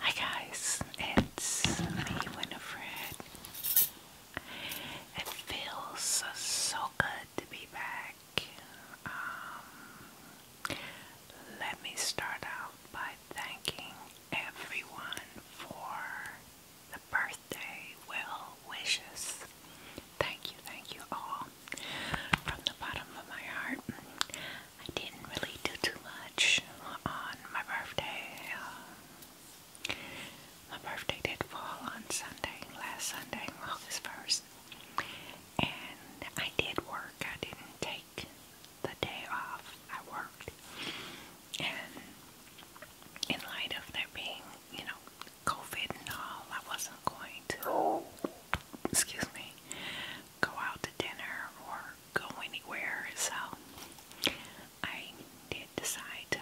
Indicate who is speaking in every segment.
Speaker 1: Hi guys, it's me Winifred. It feels so good to be back. Um, let me start out by thanking everyone for the birthday well wishes. Thank you, thank you all from the bottom of my heart. I didn't really do too much on my birthday. Uh, my birthday did fall on Sunday, last Sunday, August 1st. And I did work. I didn't take the day off. I worked. And in light of there being, you know, COVID and all, I wasn't going to, excuse me, go out to dinner or go anywhere, so I did decide to,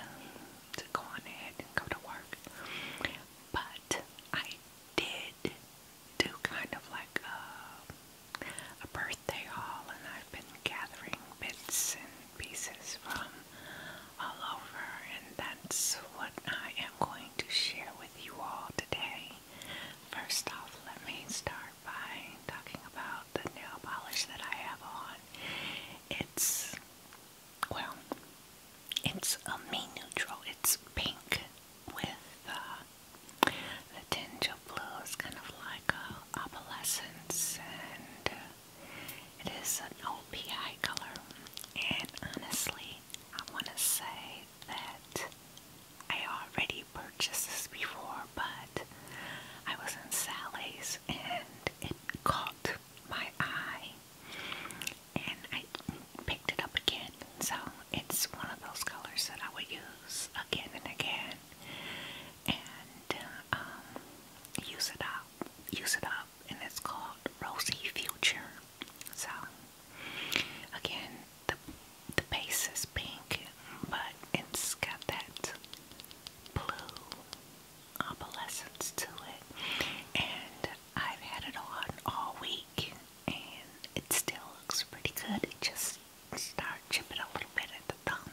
Speaker 1: go on ahead and go to work. But I did do kind of like a birthday haul, and I've been gathering bits and pieces from all over, and that's what I am going to share with you all today. First off, let me start by talking about the nail polish that I have on. It's, well, it's a me neutral. It's pink with uh, the tinge of blue. It's kind of like a opalescence and uh, it is an OPI color. And honestly, I want to say that I already purchased this before, but I was in Sally's and it caught my eye and I picked it up again. So it's one of those colors that I would use again and again and um, use it up, use it up, and it's called Rosy Future. So Again, the the base is pink, but it's got that blue opalescence to it. And I've had it on all week, and it still looks pretty good. It just started chipping a little bit at the thumb.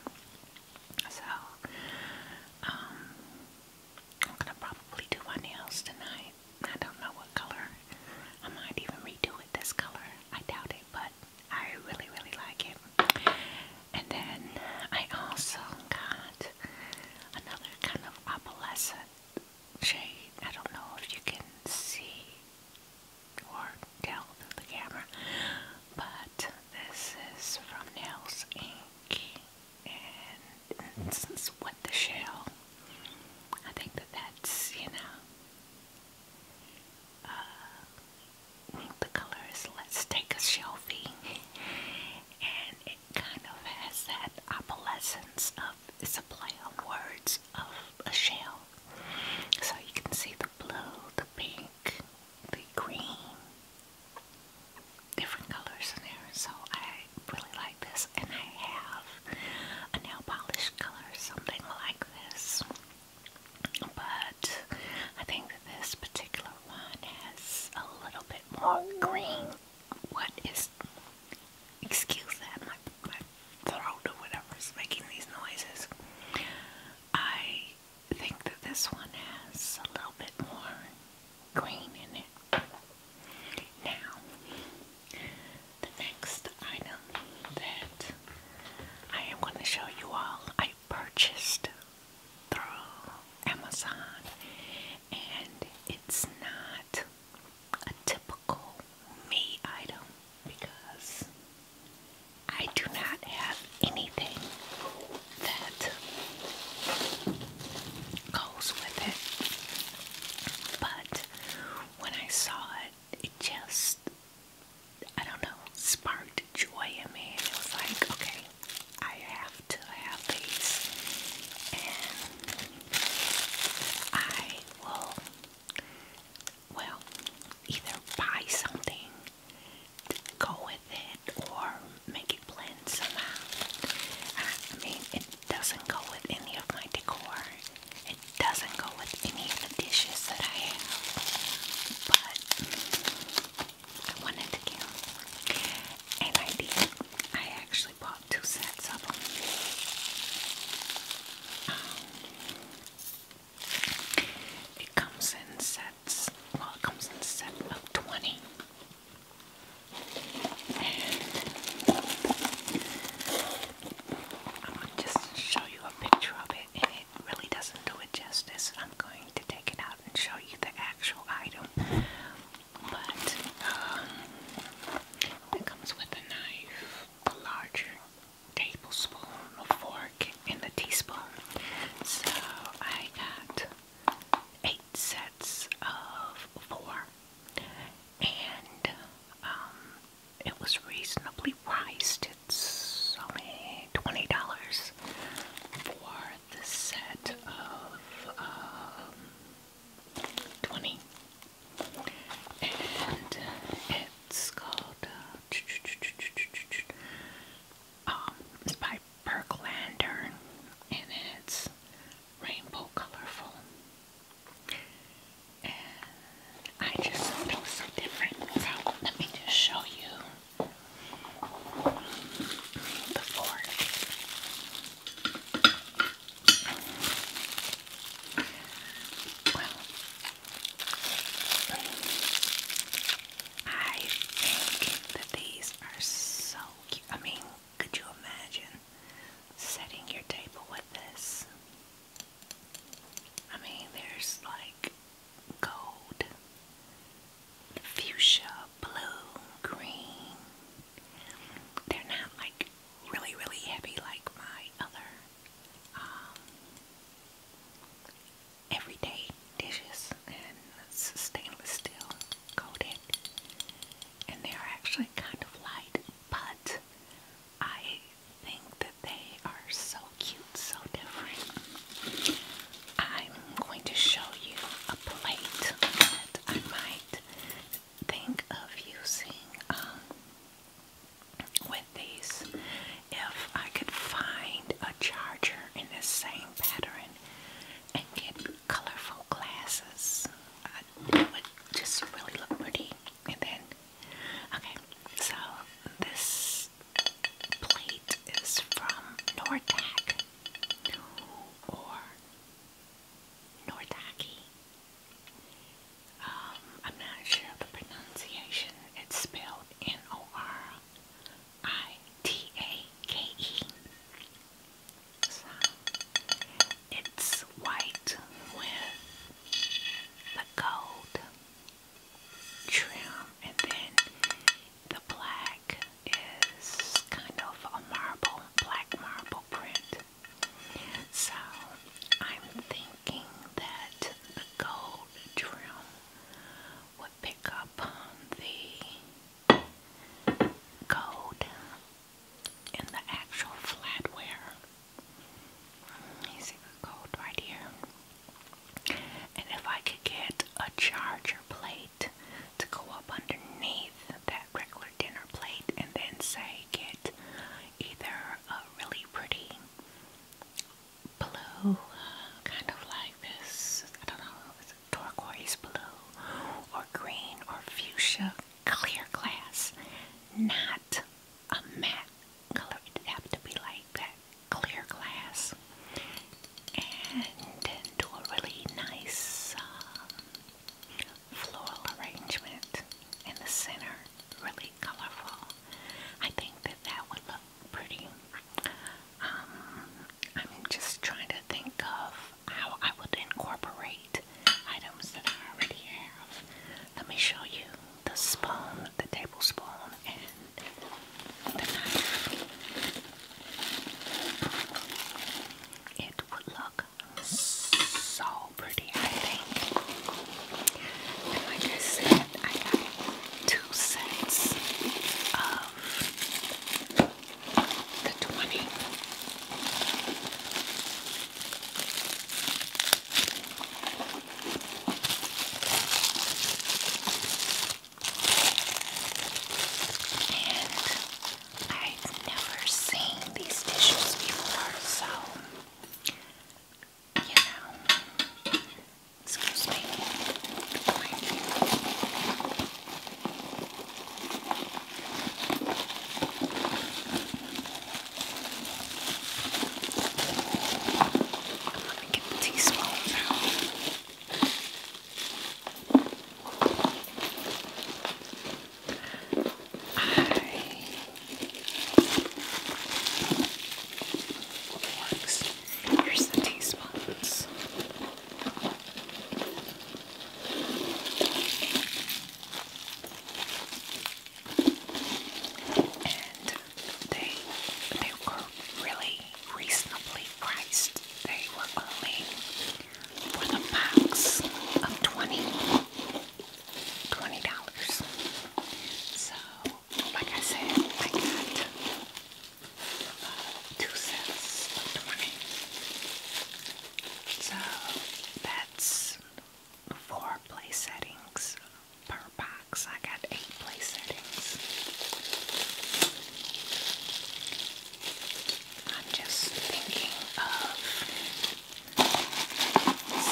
Speaker 1: So, um, I'm gonna probably do my nails tonight. I don't know what color I might even redo it this color. I doubt it, but I really, really like it. And then I also got another kind of opalescent shade. I don't know if you can see or tell through the camera, but this is from Nails Ink, and this is with the shell. I think that that's, you know, uh, the color is Let's Take a selfie, and it kind of has that opalescence of it's a play on words of a shell. So you can see the blue, the pink, the green, different colors in there. So I really like this, and I have a nail polish color, something like this. But I think that this particular one has a little bit more green. What is, excuse that, my, my throat or whatever is making these noises. I think that this one has a little bit more green in it. Now, the next item that I am going to show you all, I purchased through Amazon, and it's not a typical me item because I do not have anything that goes with it. But when I saw it, it just I don't know, sparked joy in me. it was like, okay, I have to have these. And I will, well, either buy something to go with it or make it blend somehow. I mean, it doesn't go with any of my decor. It doesn't go with any of the dishes that I have, but I wanted to get them, and I actually bought two sets of um, it comes in sets. Well, it comes in set of twenty. I'm going to just show you a picture of it, and it really doesn't do it justice. I'm going to take it out and show you the actual item. But um, it comes with a knife, a larger tablespoon, a fork, and a teaspoon. So I got eight sets of four. And um, it was reasonably priced. It's only $20 for the set of um, 20. And uh, it's called, uh, um, by Burke Lantern and it's rainbow colorful. I just things are different. let me just show you before. I think that these are so cute. I mean, could you imagine setting your table with this? I mean, there's like gold, fuchsia, blue, green. They're not like really, really heavy like my other um, everyday dishes, and stainless steel coated. And they're actually kind of light, but I think that they are so cute, so different. I'm going to show you a plate that I might think of using um, with these. If I could find a charger in the same pattern and get colorful glasses, it would just really look pretty. And then Okay, so this plate is from Nortag or Nortaki. Um, I'm not sure of the pronunciation. It's spelled N O R I T A K E. So it's white with the gold trim, and then the black is kind of a marble, black marble print. So I'm thinking that the gold trim would pick up on the gold in the actual flatware. You see the gold right here. And if I could get a charger plate to go up underneath that regular dinner plate and then say get either a really pretty blue, kind of like this, I don't know, it's turquoise blue or green or fuchsia clear glass, not a matte color. It'd have to be like that clear glass. And then do a really nice um, floral arrangement in the center. Really colorful. I think that that would look pretty. Um, I'm just trying to think of how I would incorporate items that I already have. Let me show you the spoon, the tablespoon, and the knife. It would look so pretty, I think. And like I said, I got two sets of the 20. I've never seen these dishes before, so you know. Excuse me. Thank you. Let me get the teaspoon now. I... Here's the teaspoons and they they were really reasonably priced. They were only for the max of twenty twenty dollars. So, like I said, I got uh, two sets So that's four play settings per box. I got eight play settings. I'm just thinking of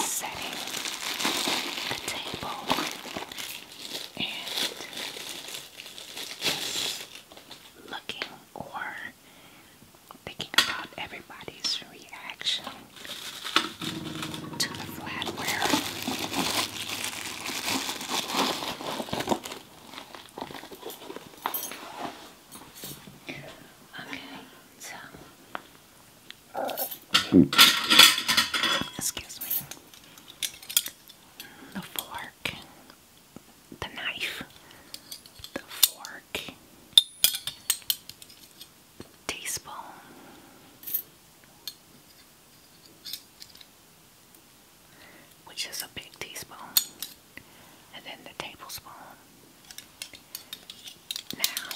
Speaker 1: setting a table and looking or thinking about everybody's reaction to the flatware. Okay, so excuse me. The fork, the knife, the fork, teaspoon. Which is a big teaspoon, and then the tablespoon. Now,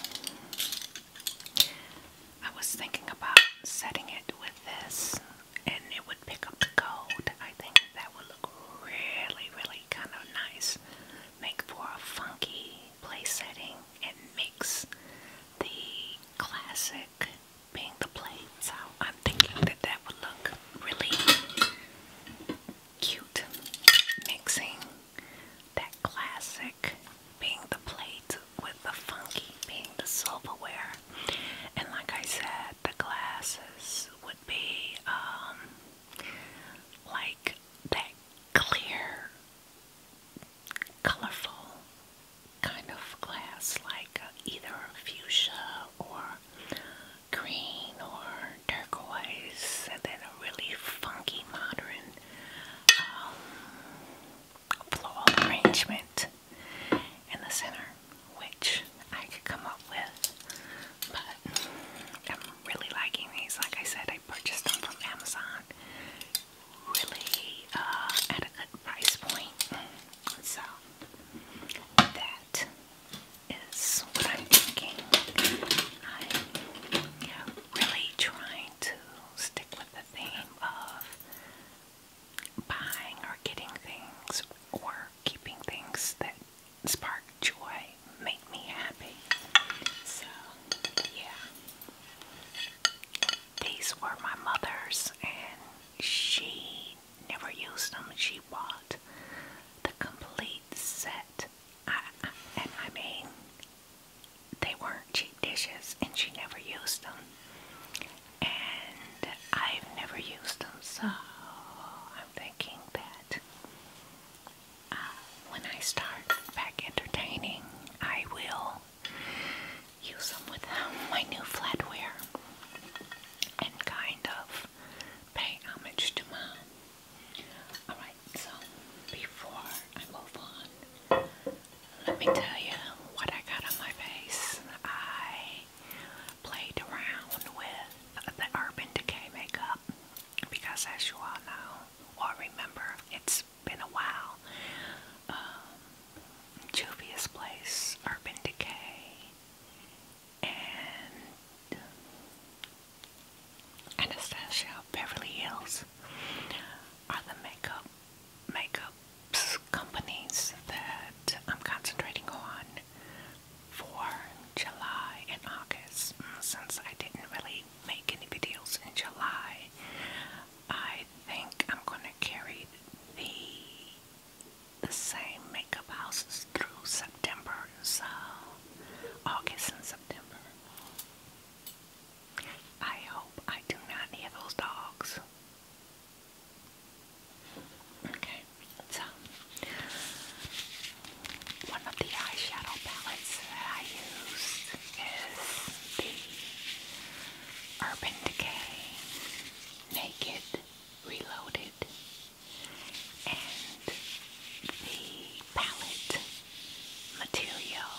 Speaker 1: I was thinking about setting it with this, and it would pick up the gold. I think that would look really, really kind of nice. Make for a funky place setting and mix the classic being the plates out. I'm thinking that that would look really cute. Mixing that classic being the plate with the funky being the silverware. And like I said, the glasses would be um, like that clear colorful kind of glass, like uh, either fuchsia or green or turquoise, and then a really funky modern um, floral arrangement in the center, which I could come up with, but mm, I'm really liking these. Like I said, I purchased them from Amazon really uh, at a good price point. So that is what I'm thinking. I'm really trying to stick with the theme of buying or getting things or keeping things that spark joy, make me happy. So, yeah. These were my mother's, and she never used them. She bought the complete set. I, and I mean, they weren't cheap dishes, and she never used them. And I've never used them, so I'm thinking that um, when I start back entertaining, I will use them with um, my new flatware and kind of pay homage to mom. Alright, so before I move on, let me tell you what I got on my face. I played around with the Urban Decay makeup because, as you all know or remember, it's it been a while. Um, Place, Urban Decay, and Anastasia Beverly Hills are the makeup makeup companies that I'm concentrating on for July and August mm, since I didn't really make videos in July. I think I'm gonna carry the the same makeup houses through September, so August and September. I hope I do not need those dogs. Okay, so one of the eyeshadow palettes that I used is the Urban Decay Naked Reloaded and the palette material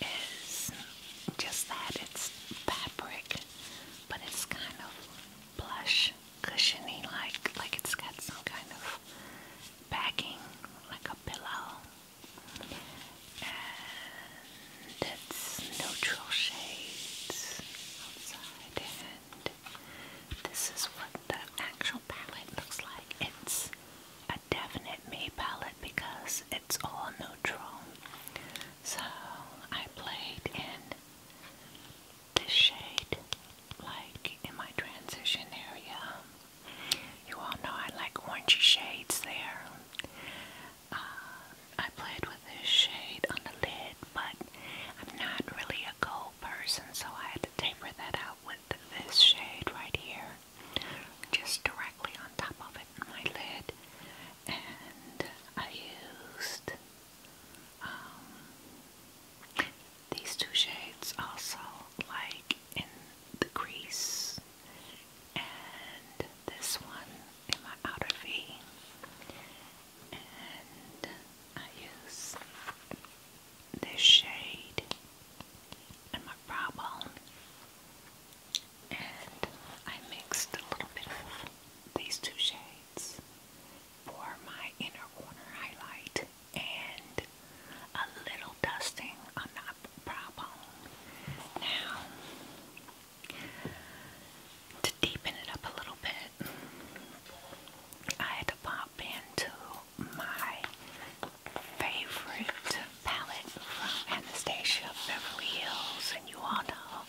Speaker 1: is just that it's fabric but it's kind of plush cushiony like like it's got some kind of backing like a pillow it's neutral shades outside and this is what the actual palette looks like. It's a definite me palette because it's all neutral. So I played in this shade like in my transition area you all know I like orangey shades there. Uh, I played with this shade on the lid, but I'm not really a gold person, so I had to taper that out with this shade right here, just directly on top of it, on my lid. And I used um, these two shades also, like in the crease and this one in my outer V. And I use this shade in my brow bone. And I mixed a little bit of these two shades for my inner corner highlight and a little dusting on the prop Now, to deepen it up a little bit, I had to pop into my favorite palette from Anastasia Beverly Hills, and you all know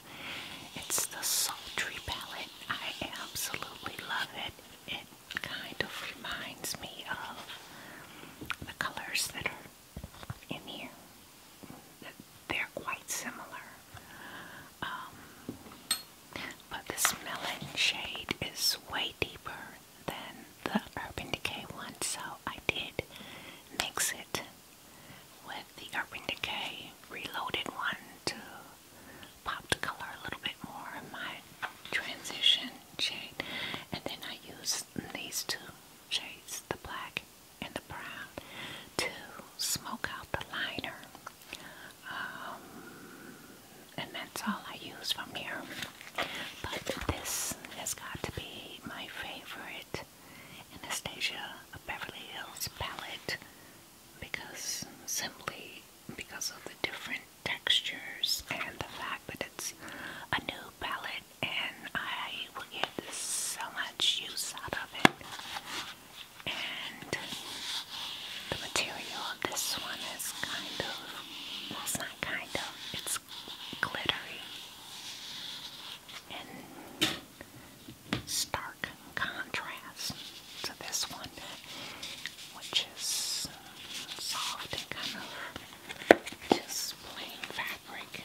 Speaker 1: it's the Sultry palette. I absolutely love it. It kind of reminds me of the colors that are in here. They're quite similar. Um, but the smelling shade is way deeper than the Urban Decay one, so I did mix it with the Urban Decay Reloaded one to pop the color a little bit more in my transition. And then I use these two shades, the black and the brown, to smoke out the liner. Um, and that's all I use from here. But this has got to be my favorite Anastasia Beverly Hills palette because simply because of the different textures and the fact that it's a new palette and I will get so much use out of it. And the material of this one is kind of, well it's not kind of, it's glittery and stark contrast to this one, which is soft and kind of just fabric.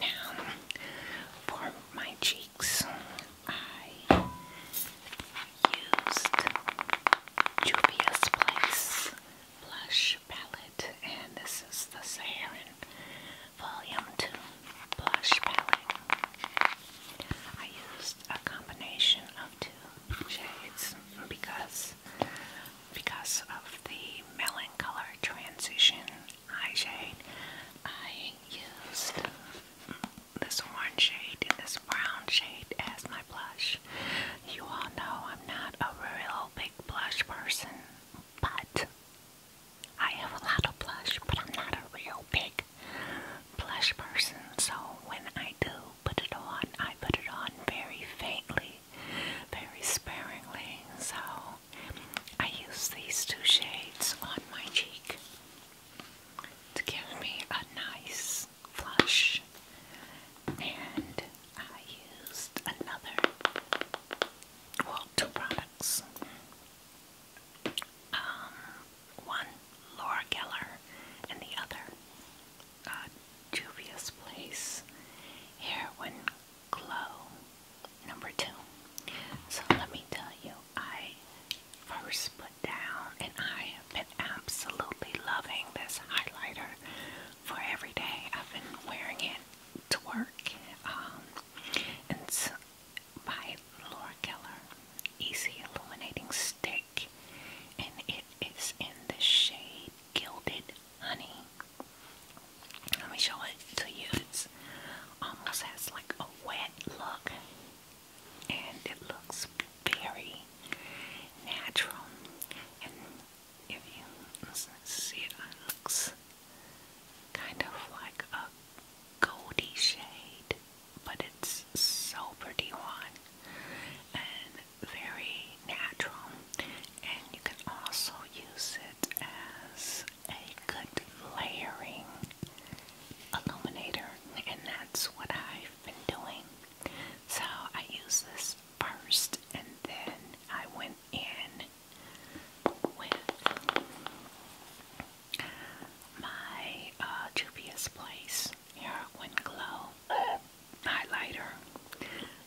Speaker 1: Now, for my cheeks, I used Juvia's Place Blush Palette, and this is the Saharan Volume 2 Blush Palette. I used a combination of two shades because because of the melon color transition eye shade, I used this orange shade and this brown shade as my blush. You all know I'm not a real big blush person, but I have a lot of blush, but I'm not a real big blush person. So when I do put it on, I put it on very faintly very sparingly, so I use these two shades on my cheek to give me a nice flush. And I used another, well, two products. Um, one Laura Geller and the other uh, dubious place when glow number two so let me tell you I first put down and I have been absolutely loving this highlighter for every day I've been wearing it to work it's um, by Laura Keller easy illuminating stick and it is in the shade Gilded Honey. Let me show it to you. It almost um, has like a wet look, and it looks very natural. And if you see it, it looks kind of like a goldy shade, but it's so pretty one very natural, and you can also use it as a good layering illuminator, and that's what I've been doing. So I use this first, and then I went in with my uh, Juvia's Place Heroin Glow highlighter.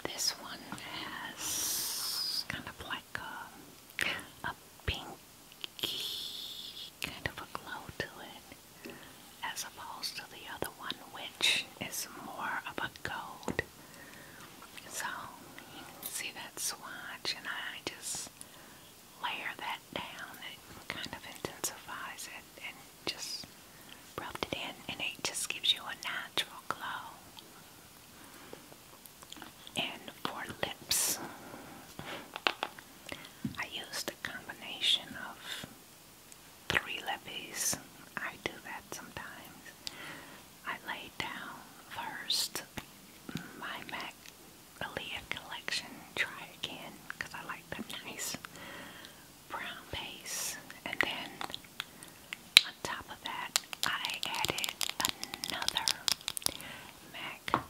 Speaker 1: This one has kind of like a, a pinky kind of a glow to it, as opposed to the other one, which is more of a gold. So you can see that swatch, and I just layer that down. It kind of intensifies it and just rubbed it in and it just gives you a natural glow. And for lips, I used a combination of three lippies. I do that sometimes. I lay down first my MAC Aaliyah collection, Try Again, I like them nice brown base and then on top of that I added another MAC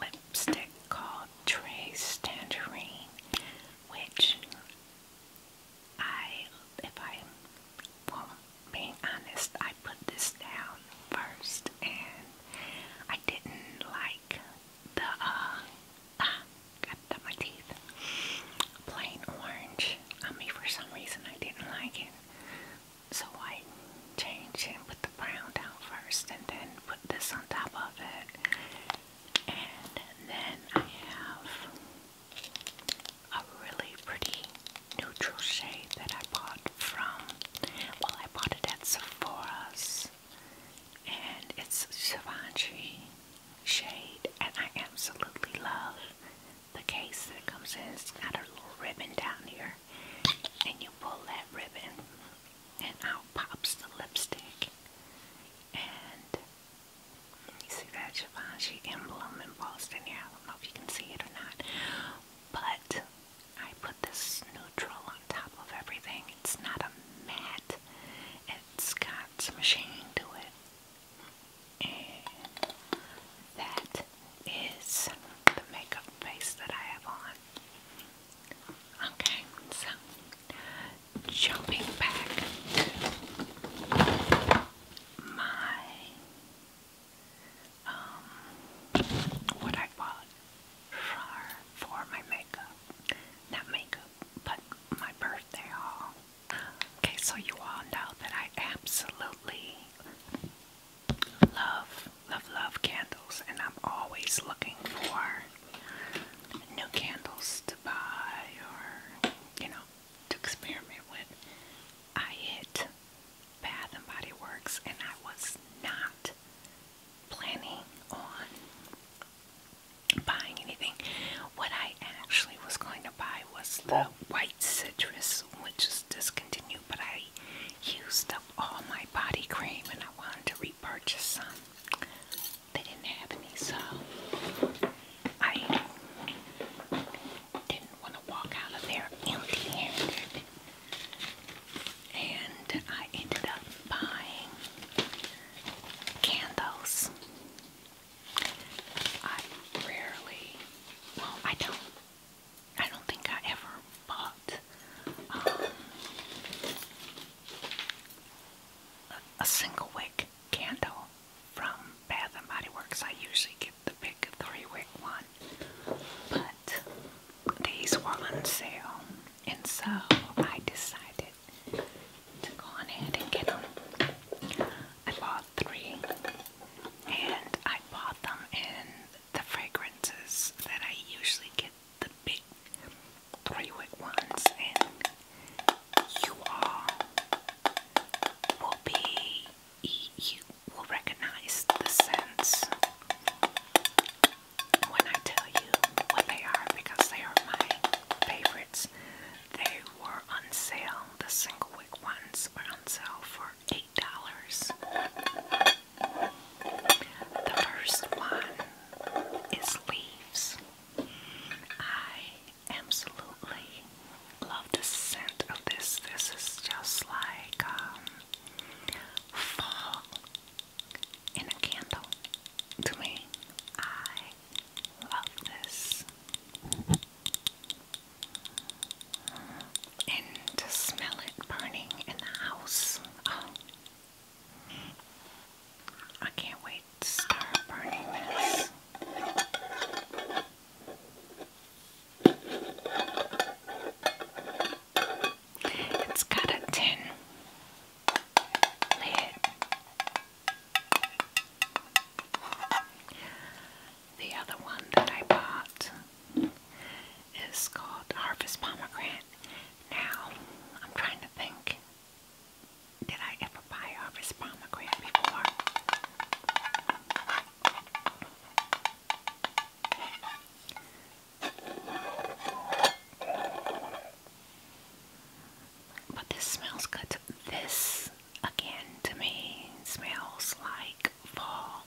Speaker 1: lipstick called Trace Tangerine which I, if I'm being honest, I put this down first and I didn't like the uh, uh, got my teeth. Plain orange. I mean, for some reason I didn't like it. So I changed and put the brown down first and then put this on top of it. And then I have a really pretty neutral shade that I bought from, well I bought it at Sephora's and it's Givenchy shade and I absolutely love the case that comes in. It's got a little ribbon down here and you pull that ribbon and out pops the lipstick. And you see that Givenchy emblem embossed in here. I don't know if you can see it or not. But I put this neutral on top of everything. It's not a matte. It's got some sheen to it. And that is the makeup base that I have on. Okay, so jumping back to my um what I bought for for my makeup. Not makeup, but my birthday haul. Okay, so you all know that I absolutely love, love, love candles, and I'm always looking for new candles to buy or, you know, to experiment with. I hit Bath and Body Works, and I was not planning on buying anything. What I actually was going to buy was the white citrus, which is discontinued, but I used up all my body cream and I wanted to repurchase some. They didn't have any, so I didn't want to walk out of there empty handed. And I ended up buying candles I rarely, well, I don't, I don't think I ever bought um, a single wick candle from Bath and Body Works. I usually get the big three wick one, but these were on sale, and so I decided to go on ahead and get them. I bought three, and I bought them in the fragrances that I usually get the big three wick ones, and you all will be, you will recognize the scents when I tell you what they are because they are my favorite. They were on sale. The single wick ones were on sale for eight dollars. The first one is leaves. I absolutely love the scent of this. This is just like um, fall in a candle to me love this. And to smell it burning in the house. Oh. I can't wait to start burning this. It's got a tin lid. The other one that I bought is called Harvest Pomegranate. Now, I'm trying to think. Did I ever buy Harvest Pomegranate before? But this smells good. This again to me smells like fall.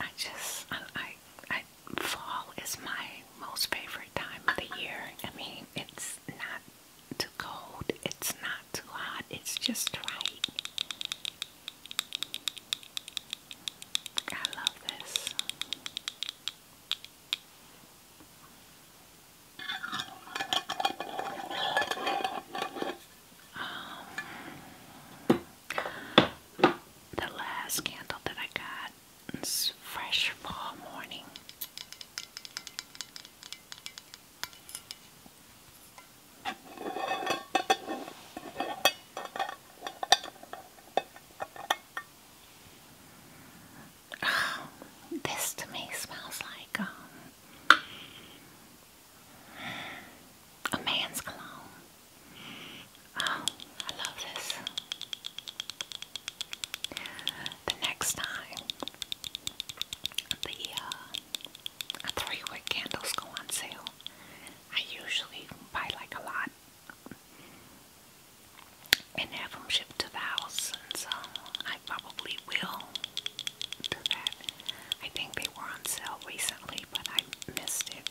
Speaker 1: I just, I, I, fall is my most favorite time of the year. I mean, it's not too cold, it's not too hot, it's just right. I love this. Um, the last candle that I got is fresh fall morning. Oh, this to me smells like um, a man's cologne. Oh, I love this. The next time the uh, three wick candles go on sale, I usually buy like a lot and have them shipped to the house, and so I probably will I think they were on sale recently, but I missed it.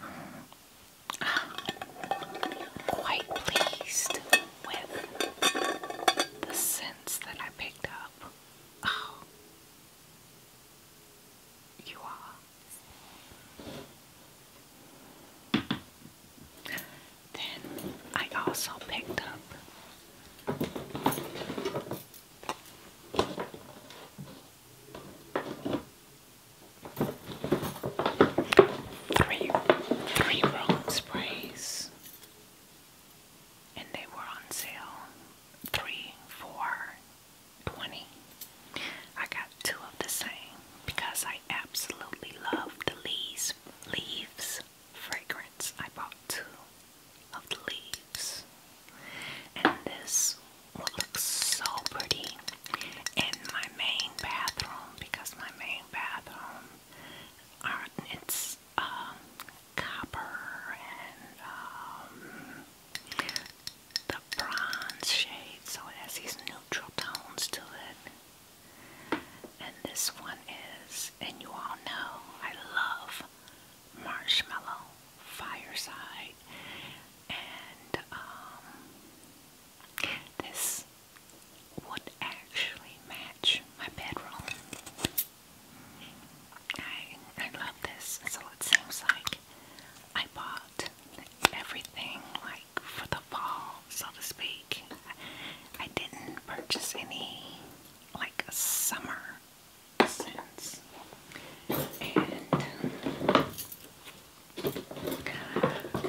Speaker 1: quite pleased with the scents that I picked up. Oh, you are. Then I also picked up three three room sprays and they were on sale three, four, 20. I got two of the same because I absolutely love the leaves, leaves fragrance. I bought two of the leaves. And this would look so pretty in my main bathroom because my main bathroom are uh, it's um, copper and um, the bronze shade, so it has these neutral tones to it. And this one is, and you all know, I love marshmallow fireside, and um, this would actually match my bedroom. I I love this, so it seems like I bought everything like for the fall, so to speak. I didn't purchase any like summer scents, and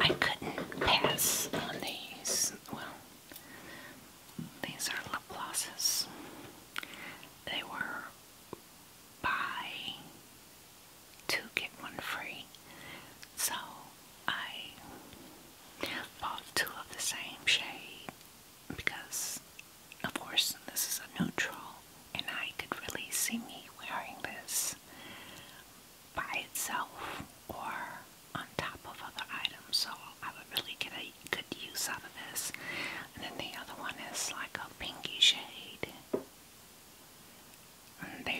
Speaker 1: I couldn't pass on these. Well, these are Laplace's. They were buy two get one free. So I bought two of the same shade because of course this is a neutral and I could really see me wearing this by itself or on top of other items so I would really get a good use out of this and then the other one is like a pinky shade they're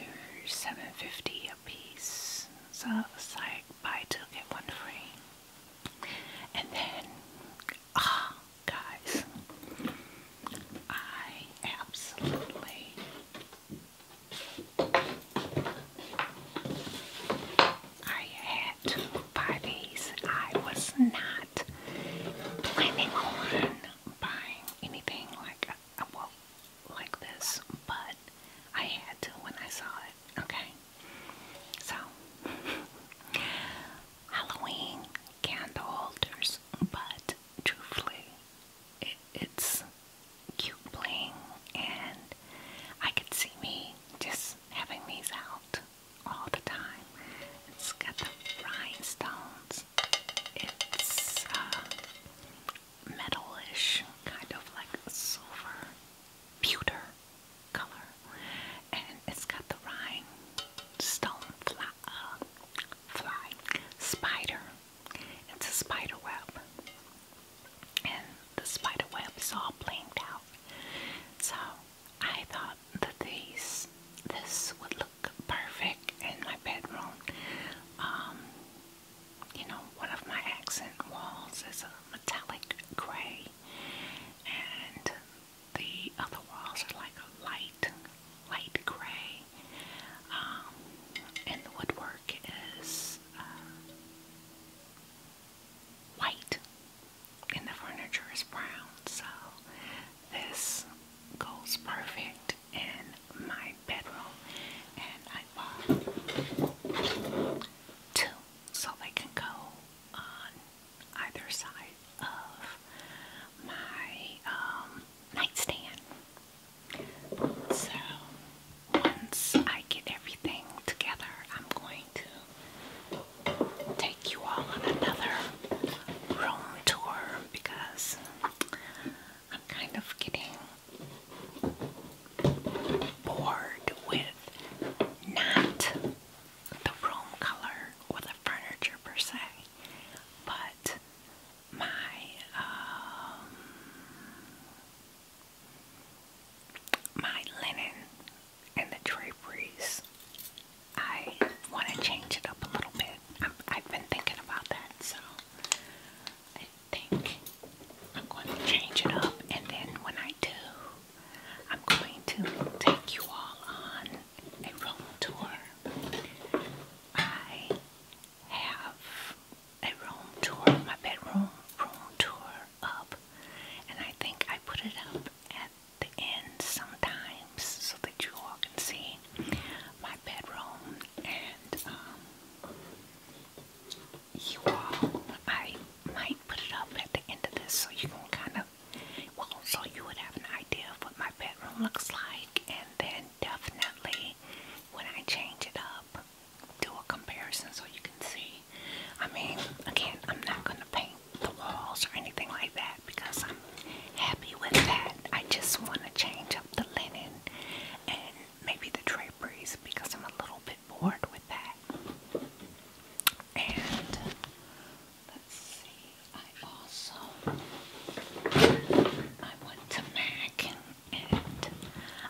Speaker 1: seven fifty a piece. So it's like buy two get one free. And then ah guys I absolutely I had to I was not planning on buying anything like I like this, but I had to when I saw it. Okay, so Halloween candle holders, but truthfully, it's cute bling, and I could see me just having these out all the time. It's got the rhinestones it's uh, metalish, kind of like silver pewter color, and it's got the rhinestone fly, uh, spider. It's a spider web, and the spider web is all blinged out. So I thought that these this would look perfect in my bedroom. Um, you know, one of my accent walls is a metallic gray, and the other walls are like a light, light gray. Um, and the woodwork is uh, white, and the furniture is brown. So this goes perfect in my bedroom, and I bought two so they can go on either side of my um, nightstand. So once I get everything together, I'm going to take you all on another room tour because I'm kind of getting bored with not the room color or the furniture per se, but my um, my linen and the draperies. I want to change it up a little bit. I'm, have been thinking about that, so I think I'm going to change it up, and then when I do, I'm going to take you all on a room tour. I have a room tour, my bedroom room tour up, and I think I put it up at the end sometime so that you all can see my bedroom and um, you all, I might put it up at the end of this so you can kind of, well, so you would have an idea of what my bedroom looks like and then definitely when I change it up, do a comparison so you can see. I mean, again, I'm not going to paint the walls or anything like that because I'm happy with that. I just want to change the linen and maybe the draperies because I'm a little bit bored with that. And let's see, I also I went to Mac and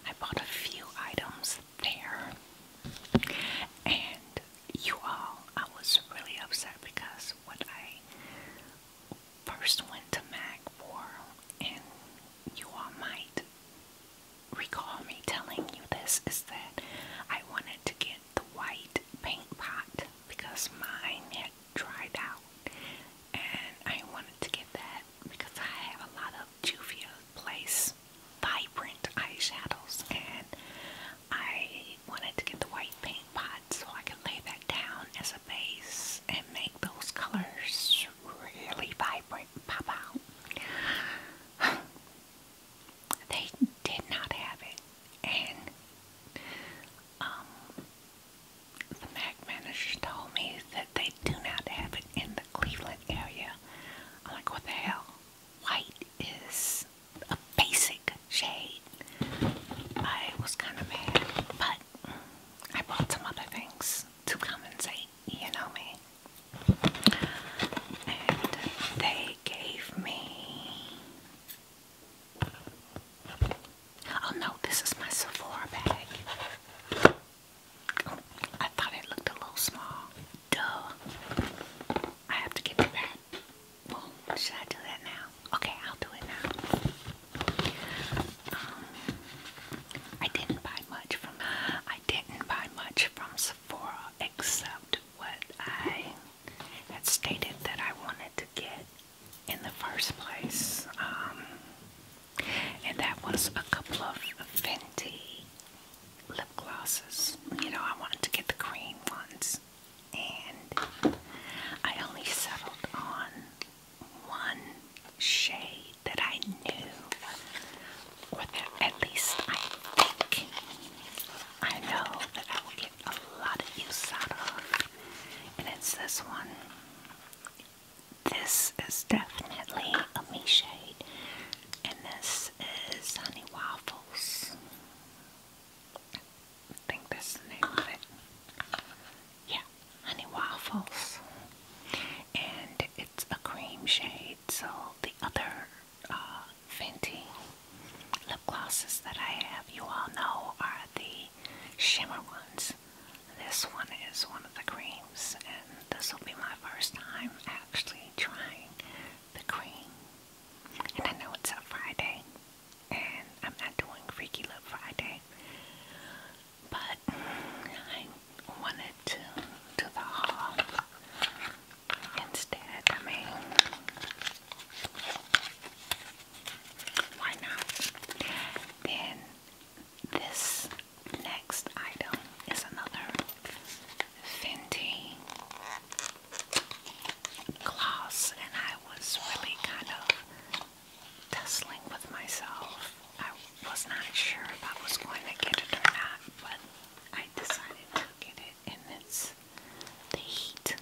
Speaker 1: I bought a few items there. And you all, I was really upset because what I first went to Mac for, and you all might recall me telling you this, is that I wanted to get the white paint pot because mine had dried out, and I wanted to get that because I have a lot of Juvia Place vibrant eyeshadows, and I wanted to get the white paint so I can lay that down as a base and make those colors really vibrant pop out. they did not have it and um, the MAC manager told me that they do not have it in the Cleveland area. like, what the hell? White is a basic shade. I was kind of mad, but I bought some other things to compensate, you know me. And they gave me. Oh no, this is my Sephora bag. I thought it looked a little small. Duh. I have to give it back. should I do that now? Okay, I'll do it now. Um, I didn't buy much from I didn't buy much from Sephora except what I had stated that I wanted to get in the first place. Um, and that was a couple of Fenty lip glosses. You know, I wanted to get the cream ones. And I only settled on one shade that I knew, or that at least I think I know that I will get a lot of use out of, and it's this one. This is definitely a me shade, and this is Honey Waffles. I think that's the name of it. Yeah, honey waffles. And it's a cream shade, so the other uh, Fenty lip glosses that I have, you all know, are the shimmer ones. This one is one of the creams, and this will be my first time actually trying the cream. And I know it's a Friday, and I'm not doing Freaky Lip Friday, but I wanted to do the haul instead. why not? Then this next item is another Fenty gloss, and I was really kind of tussling with myself. I was not sure if I was going to get it or not, but I decided to get it, and it's the heat.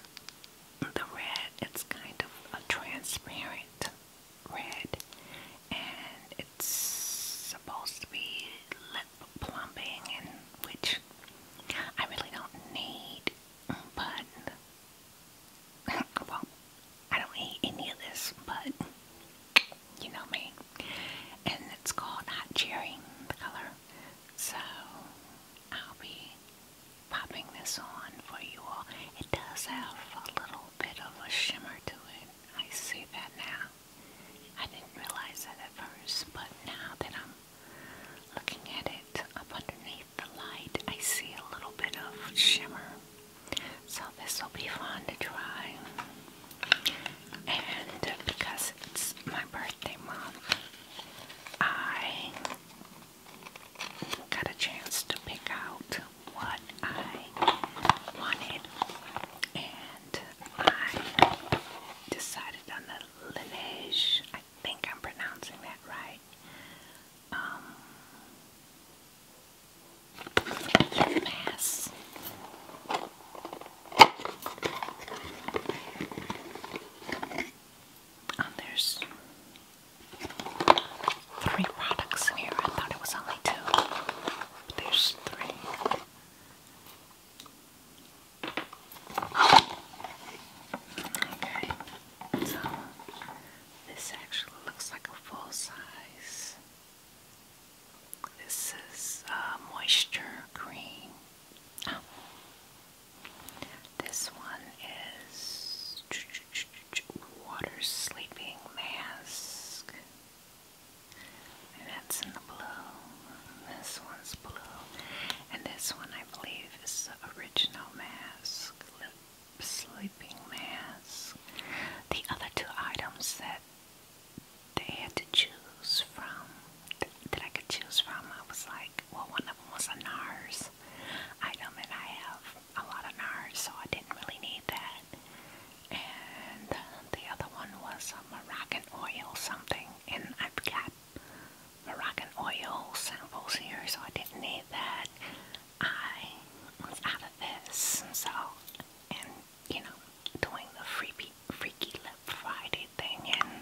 Speaker 1: The red, it's kind of a transparent red, and it's supposed to be lip plumping, and which I really don't need, but well, I don't eat any of this, but you know me. And it's called Hot Cherry, the color. So I'll be popping this on for you all. It does have a little bit of a shimmer to it. I see that now. I didn't realize that at first, but now that I'm looking at it up underneath the light, I see a little bit of shimmer. So this will be fun to try. And because it's my birthday month, I got a chance to pick out what I wanted. And I decided on the Laneige I think I'm pronouncing that right. Um, mass. Um, uh, there's three products here. I thought it was only two. But there's three. Okay. So, this actually looks like a full size. This is uh, moisture cream. Ah. This one is water sleeping mask, and that's in the blue. This one's blue, and this one I believe is the original mask sleeping mask. The other two items that they had to choose from, th that I could choose from, I was like, well, one of them was a NARS item, and I have a lot of NARS, so I didn't really need that. And uh, the other one was a Moroccan oil something, and I've got Moroccan oil samples here, so I didn't need that. I was out of this, so, and you know, doing the freaky, freaky Lip Friday thing and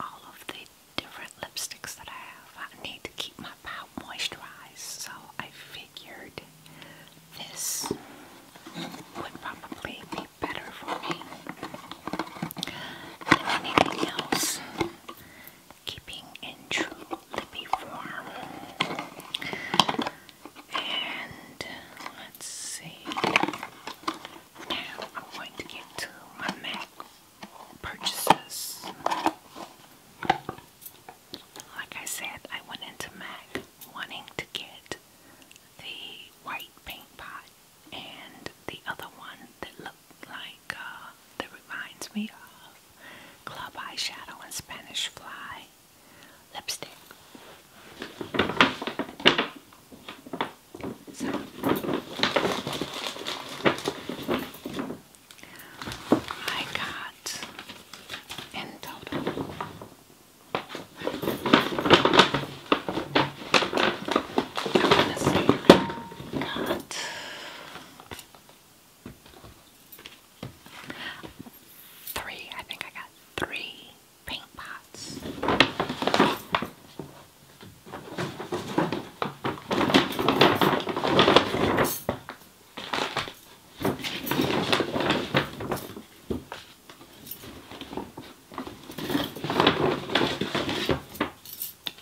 Speaker 1: all of the different lipsticks that I have, I need to keep my pout moisturized, so I figured this would probably be better for me than anything else keeping in true lippy form. And let's see. Now I'm going to get to my MAC purchases. Like I said, I went into MAC wanting to get the white paint pot and the other one that looked like uh, that reminds me of club eyeshadow and Spanish fly lipstick. So I got in total. I'm got Three, I think I got three paint pots.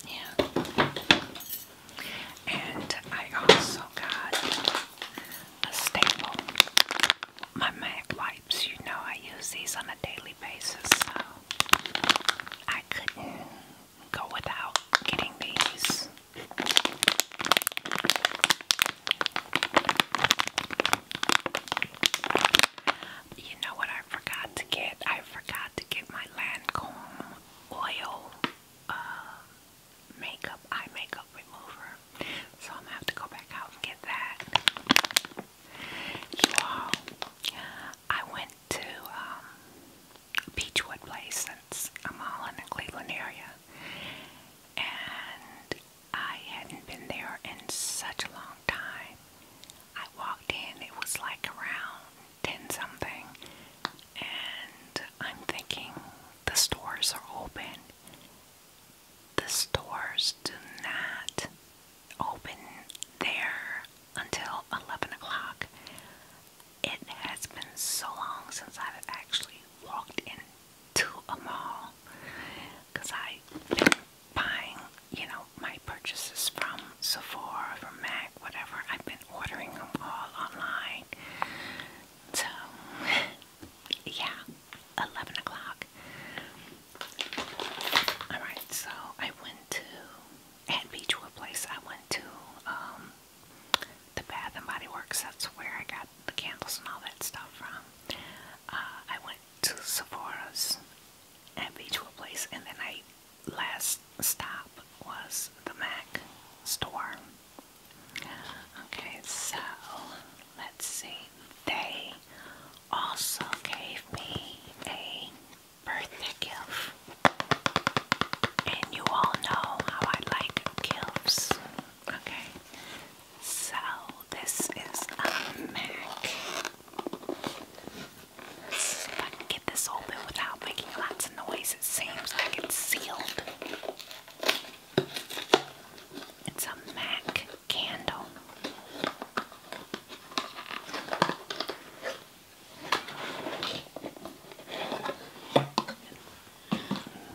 Speaker 1: Yeah. And I also got a staple. My Mac wipes, you know, I use these on a daily basis, so I couldn't go without getting these. You know what I forgot to get? I forgot to get my Lancome oil uh, makeup, eye makeup remover. So I'm gonna have to go back out and get that. You all, I went to um, Beechwood Place since I'm all in the Cleveland area. And I hadn't been there in such a long time. I walked in, it was like around 10 something, and I'm thinking the stores are open. The stores do not open there until 11 o'clock. It has been so long since I've actually walked into a mall because I've been buying, you know, my purchases from Sephora, from MAC, whatever. I've been ordering them all online. So, yeah, 11 o'clock. Alright, so I went to, at Beach Beachwood Place, I went to um, the Bath and Body Works. That's where I got the candles and all that stuff from. Uh, I went to Sephora's at Beachwood Place, and then I last stop was the Mac store. Okay, so let's see. They also gave me a birthday gift. And you all know how I like gifts. Okay. So this is a Mac. If I can get this open without making lots of noise, it seems like it's sealed. It's a MAC candle.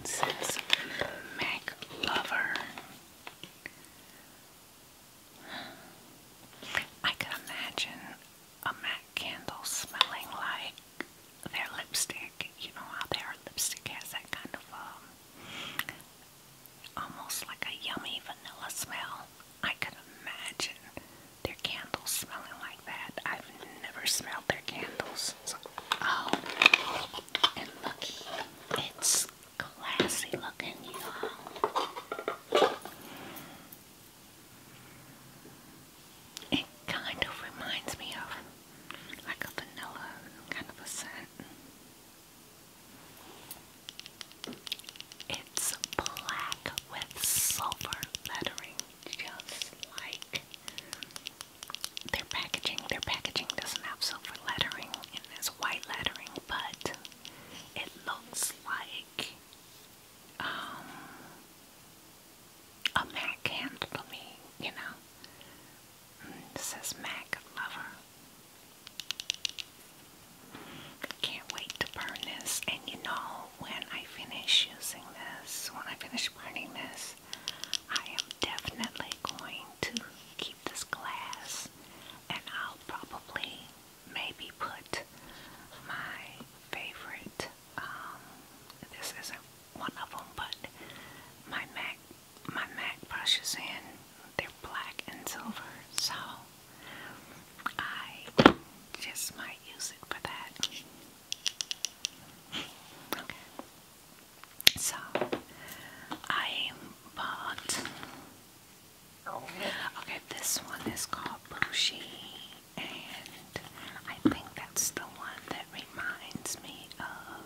Speaker 1: says MAC Lover. I could imagine a Mac Candles smelling like their lipstick. You know how their lipstick has that kind of um, almost like a yummy vanilla smell. I could imagine their candles smelling like that. I've never smelled their candles. oh, and look, it's classy looking, y'all. It kind of reminds me of like a vanilla kind of a scent. It's black with silver lettering, just like their packaging. Their packaging doesn't have silver lettering, and there's white lettering, but it looks like um, a Mac hand me, you know. says mm, Mac lover. Can't wait to burn this. And you know, when I finish using this, when I finish burning this, I am definitely going to keep this glass and I'll probably maybe put my favorite, um, this isn't one of them, but my MAC, my MAC brushes in, they're black and silver, so I just might use it for that. Okay. So, I bought, okay, this one is called Bushy and I think that's the one that reminds me of.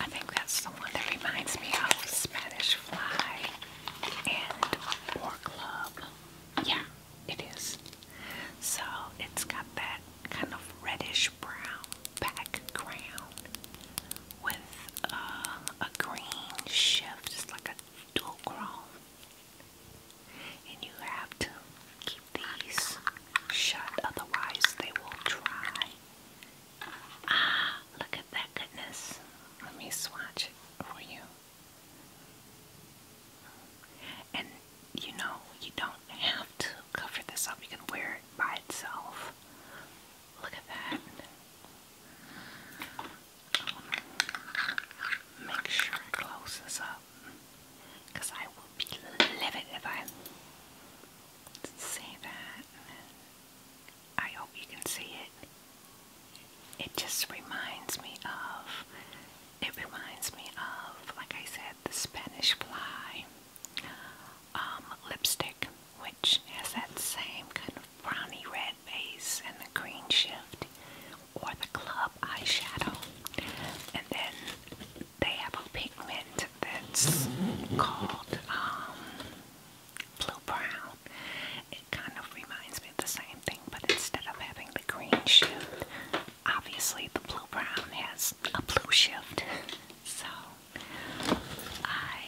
Speaker 1: I think that's the one that reminds me of Spanish Fly and War Club. Yeah, it is. So it's got that kind of reddish brown background with uh, a green shift, just like a dual chrome. And you have to keep these shut, otherwise they will dry. Ah, look at that goodness. Let me swatch it for you. And you know, you don't have to cover this up. You can wear it by itself. Look at that. Make sure I close this I will be livid if I say that. I hope you can see it. It just reminds me of, it reminds me of, like I said, the Spanish fly um, lipstick which has that same kind of browny red base and the green shift or the club eyeshadow. And then they have a pigment that's called um, blue brown. It kind of reminds me of the same thing, but instead of having the green shift, obviously the blue brown has a blue shift. So I,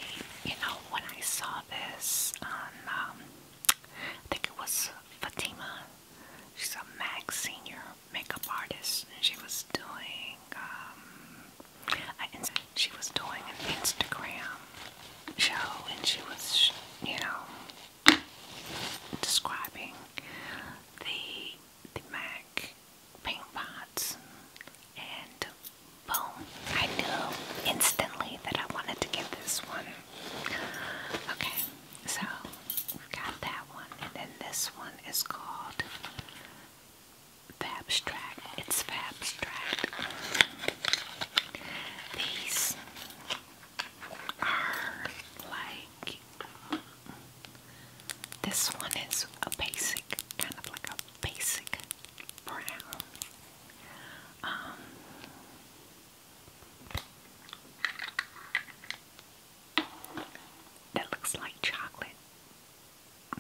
Speaker 1: you know, when I saw this on um, I think it was Fatima. She's a Mac senior makeup artist, and she was doing. Um, she was doing an Instagram show, and she was, you know, describing the the Mac paint pots and bone. I knew instantly that I wanted to get this one. Okay, so we've got that one, and then this one is called Abstract. It's Fabstract. These are like this one is a basic, kind of like a basic brown. Um, that looks like chocolate.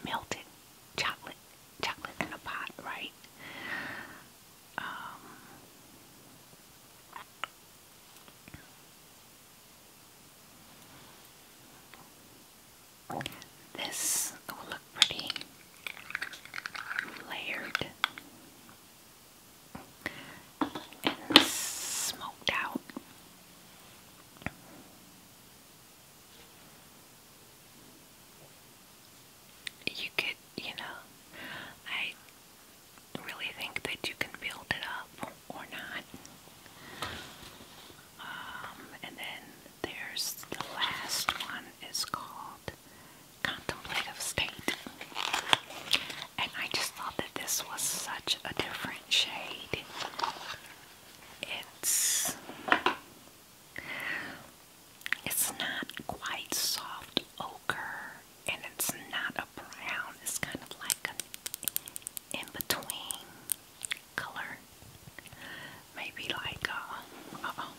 Speaker 1: Melted chocolate. Chocolate in a pot, right? Um, this, pretty layered and smoked out. You could, you know, I really think that you can build it up or not. Um, and then there's the last one is called contemplative state. And I just thought that this was such a different shade. It's it's not quite soft ochre and it's not a brown. It's kind of like an in-between color maybe like uh, -oh.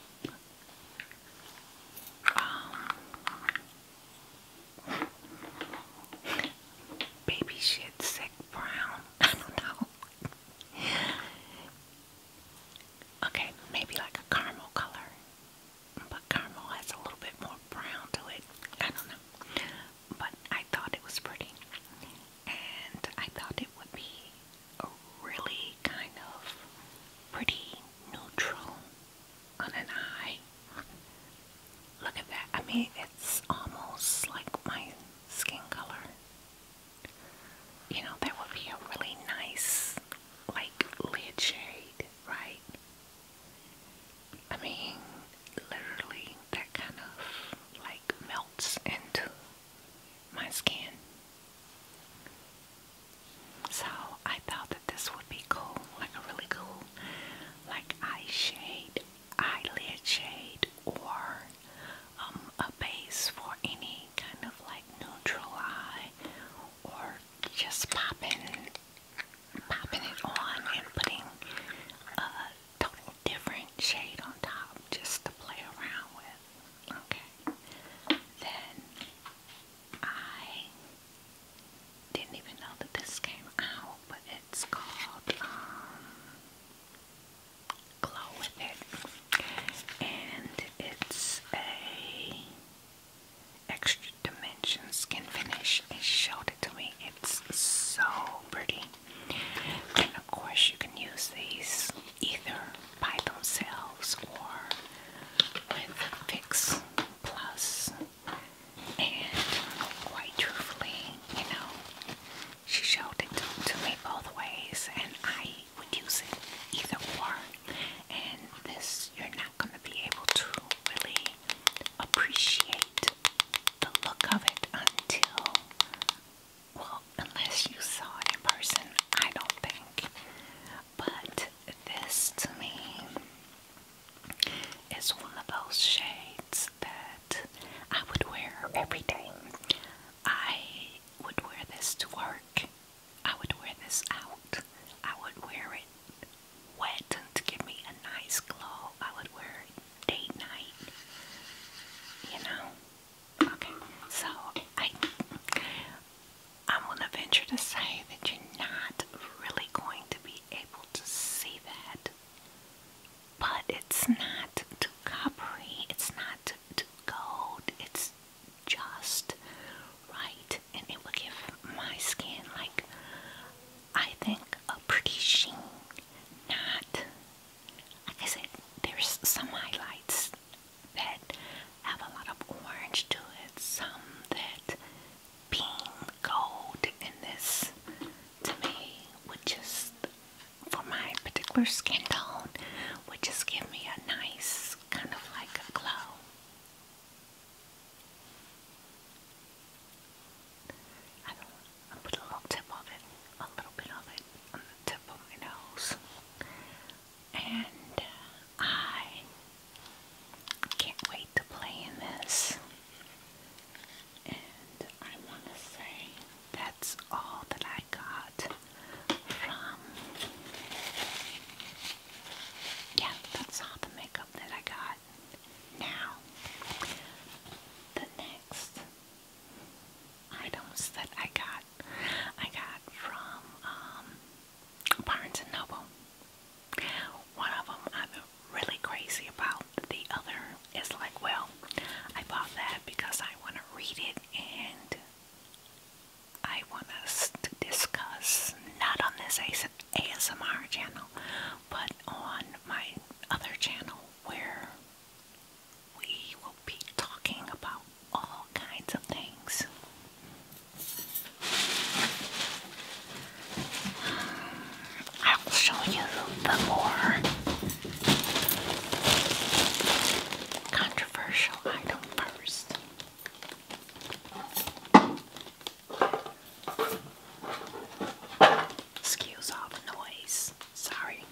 Speaker 1: baby shit sick brown. I don't know. okay, maybe like a caramel color, but caramel has a little bit more brown to it. I don't know, but I thought it was pretty, and I thought it would be a really kind of pretty neutral on an eye. Look at that. I mean, it's almost like my skin color. You know, that would be a really nice, like, lid shade, right? I mean, literally, that kind of like melts into my skin. So I thought that this would be cool, like a really cool, like eye shade, eyelid shade, or um, a base for any kind of like neutral eye, or just popping, popping it on and putting a total different shade on top just to play around with. Okay, then I didn't even know that this came out, but it's called um, Glow With It, and it's a extra dimension skin finish. It showed it to me. It's so pretty, and of course you can use these either by themselves or with Fix And quite truthfully, you know, she showed it to, me both ways, and I would use it either way. And this, you're not going to be able to really appreciate the look of it until, well, unless you saw it in person, I don't think. But this to me is one of those shades that I would wear every day. I would wear this to work. I would wear this out. I would wear it wet to give me a nice glow. I would wear it date night. You know, Okay, so I I'm gonna venture to say that you're not really going to be able to see that, but it's not too coppery, it's not too gold, it's just right, and it will give my skin like I think a pretty sheen. Not I said, there's some highlights that have a lot of orange to it, some that beam gold in this to me would just for my particular skin tone would just give me a nice kind of like a glow. I don't I put a little tip of it, a little bit of it on the tip of my nose and I can't wait to play in this. And I want to say that's all that I got from. Yeah, that's all the makeup that I got. Now, the next items that I got, I got from um, Barnes and Noble. One of them I'm really crazy about. The other is like, well, I bought that because I want to read it and I want us to discuss, not on this ASMR channel, but on my other channel where we will be talking about all kinds of things. I will show you the more controversial item first. Excuse all the noise. Sorry.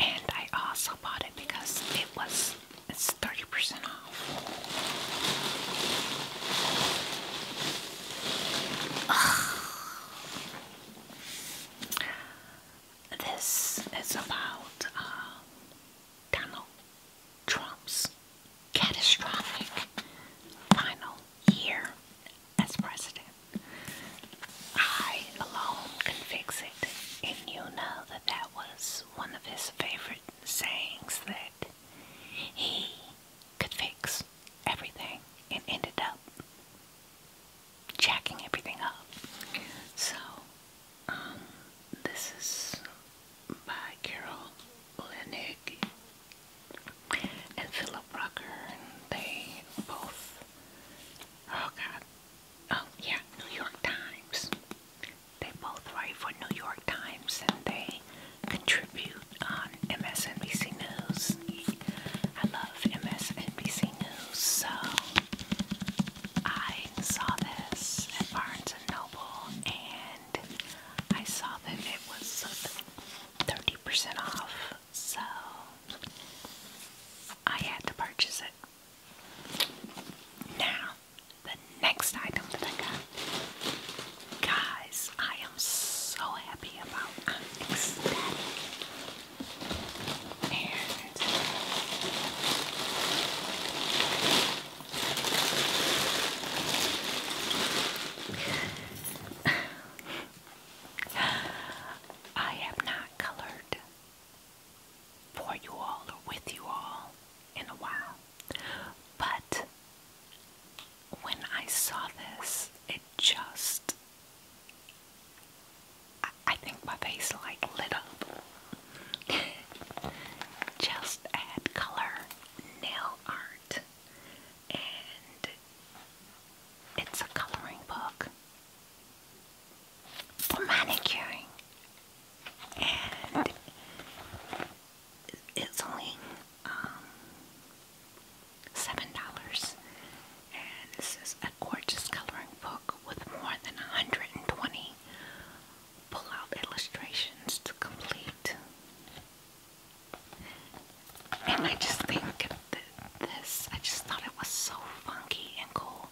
Speaker 1: And I also bought it because it was it's 30% off. This is about uh, Donald Trump's catastrophic final year as president. I alone can fix it, and you know that that was one of his favorite sayings that he could fix everything and ended up jacking everything up. So, um, this is by Carol Linick and Philip Rucker, and they both, oh God, oh yeah, New York Times. They both write for New York Times and they contribute on MSNBC News. I love MSNBC News, so I saw this at Barnes and Noble and I saw that it was 30% off, so I had to purchase it. Now, the next item that I got, guys, I am so happy about. I'm ecstatic, and I have not colored for you all or with you all in a while, but when I saw this, it just I, think my face like lit up. just add color nail art and it's a coloring book for manicuring, and it's only um, seven dollars. And this is a gorgeous coloring book with more than 120 pull-out illustrations to complete. And I just think this, I just thought it was so funky and cool.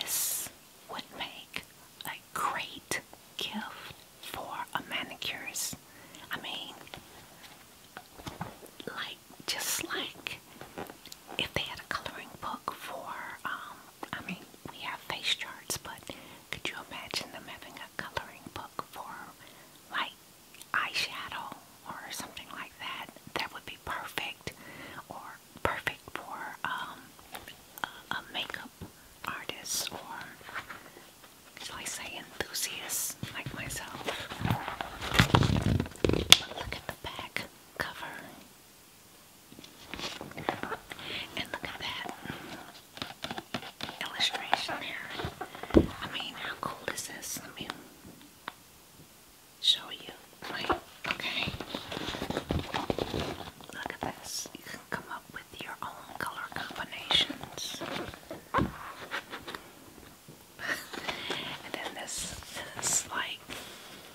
Speaker 1: This would make a great gift for a manicurist. I mean, like, just like if they had a coloring book for, um, I mean, we have face charts, but could you imagine them having a? coloring book for like eyeshadow or something like that, that would be perfect or perfect for um, a, makeup artist or, shall I say, enthusiast like myself. look at the back cover. And look at that illustration there. I mean, how cool is this? Let me show you. Okay. Look at this. You can come up with your own color combinations. and then this is like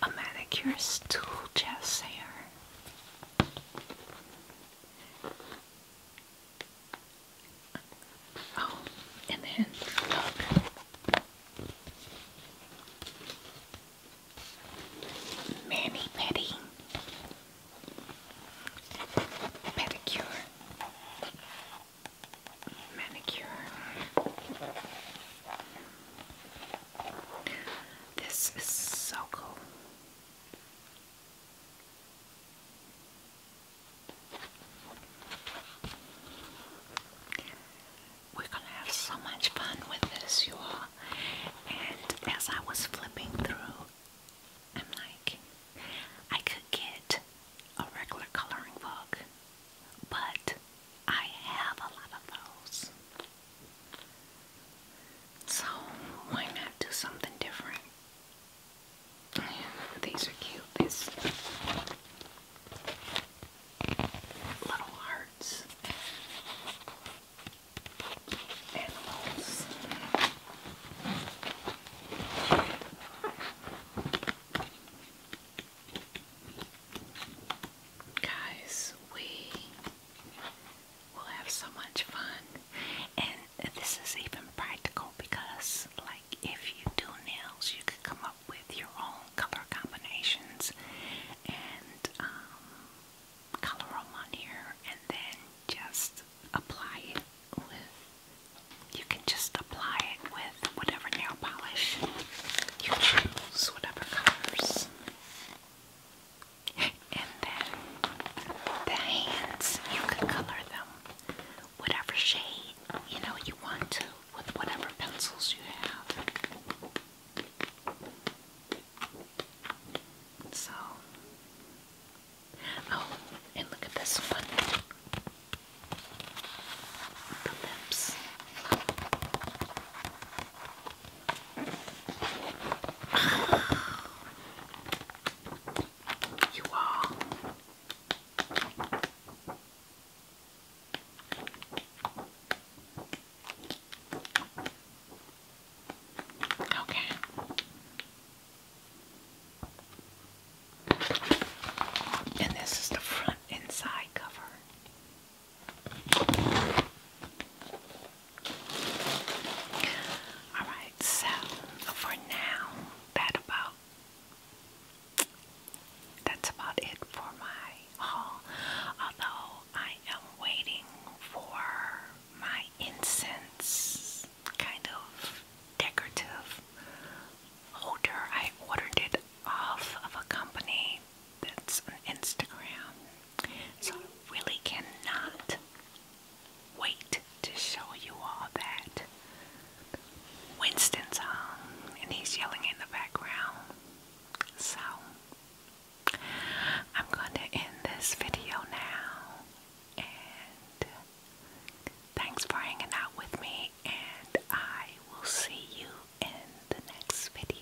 Speaker 1: a manicure's tool chest here. Oh, and then Mani Petty Pedicure Manicure This is so cool. We're going to have so much fun with this, you all. And as I was flipping through, I'm like, I could get a regular coloring book, but I have a lot of those. So why not do something different? These are cute. These little hearts. Animals. Guys, we we'll have so much fun. And this is even practical because, like, if you do nails, you could come up with your own color combinations and um, color them on here and then just apply it you can just apply it with whatever nail polish you choose, whatever colors. And then the hands, you can color them whatever shade you know you want to with whatever pencils you have. So, oh, and look at this one the lips. You are. Okay. And this is the front inside cover. Alright, so for now, that about that's about it for my haul. Although I am waiting for my incense kind of decorative holder. I ordered it off of a company that's on Instagram. So I really cannot wait to show you all that. Winston's home and he's yelling in the background. So, I'm going to end this video now. And thanks for hanging out with me. And I will see you in the next video.